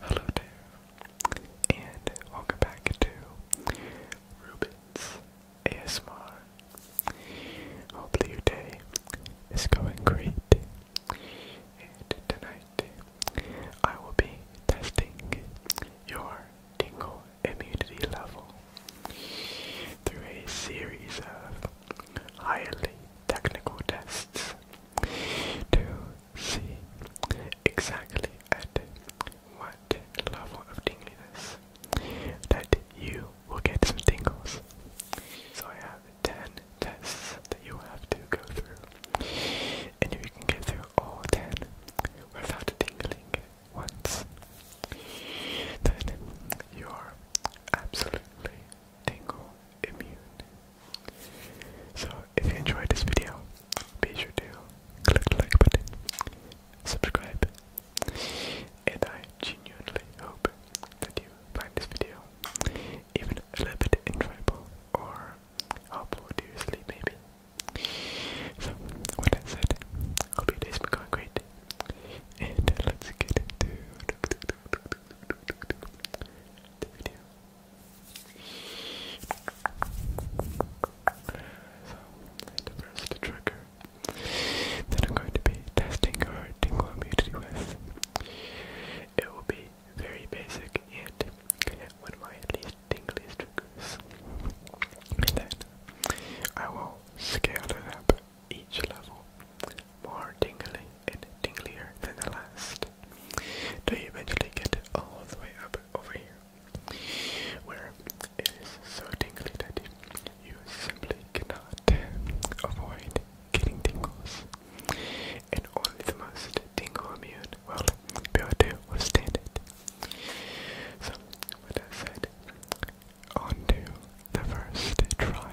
Hello there, and welcome back to Ruben's ASMR. Hopefully your day is going great, and tonight I will be testing your tingle immunity level through a series of highly technical tests to see exactly at what level of tingliness that you will get some tingles. So I have 10 tests that you will have to go through. And if you can get through all ten without tingling once, then you are absolutely tingle immune. So if you enjoyed this video, be sure to click the like button, subscribe, and I genuinely hope that you find this video even a little bit enjoyable or I'll put you to sleep, baby. So, what I said, hope your day's been going great. And let's get into the video. So, the trigger that I'm going to be testing your tingle immunity with, it will be very basic and one of my least tingliest triggers. then I will scale it up each level more tingly and tinglier than the last till you eventually get all the way up over here where it is so tingly that you simply cannot avoid getting tingles and only the most tingle immune well, will be able to withstand it. So, with that said, on the first trial.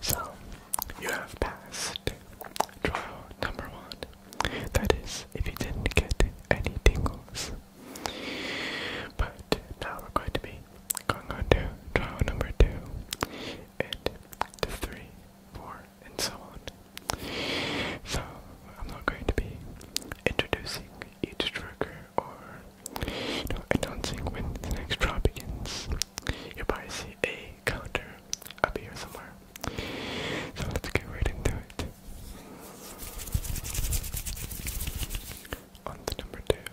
So, you have passed trial number one. That is, if you didn't get any tingles. But now we're going to be going on to trial number two, and to and so on. So, I'm not going to be introducing each trigger or you know, announcing when the next trial begins. You'll probably see a counter up here somewhere. So, let's get right into it. On the number two,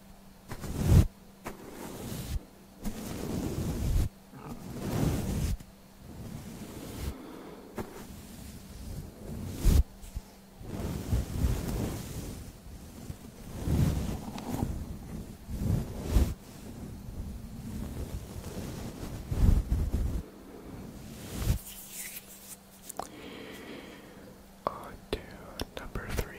On to number three.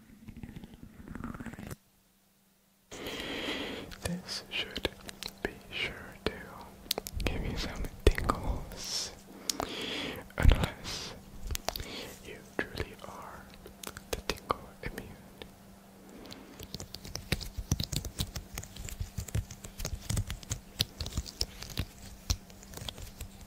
This should be sure to give you some tingles, unless you truly are the tingle immune.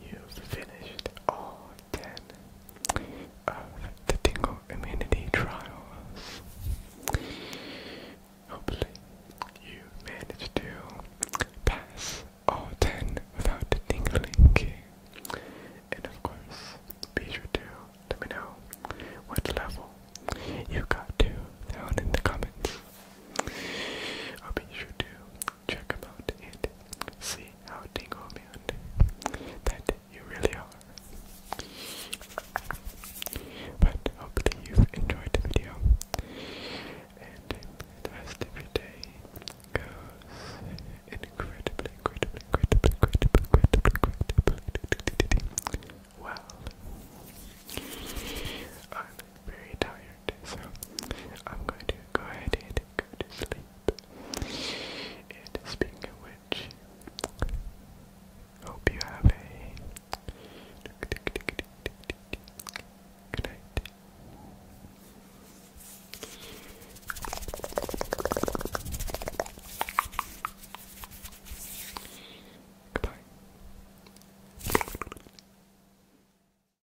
You've finished all ten of the Tingle Immunity trials. Hopefully, you managed to pass all ten without tingling. And of course, be sure to let me know what level you got to down in the comments. I'll be sure to check about it, see how Dingleman that you really are. But hopefully you've enjoyed the video, and the rest of your day goes incredibly, incredibly, incredibly, incredibly, incredibly, incredibly well. I'm very tired tired, so I'm going to go ahead and go to sleep. And speaking of which, hope you have a good night. Goodbye.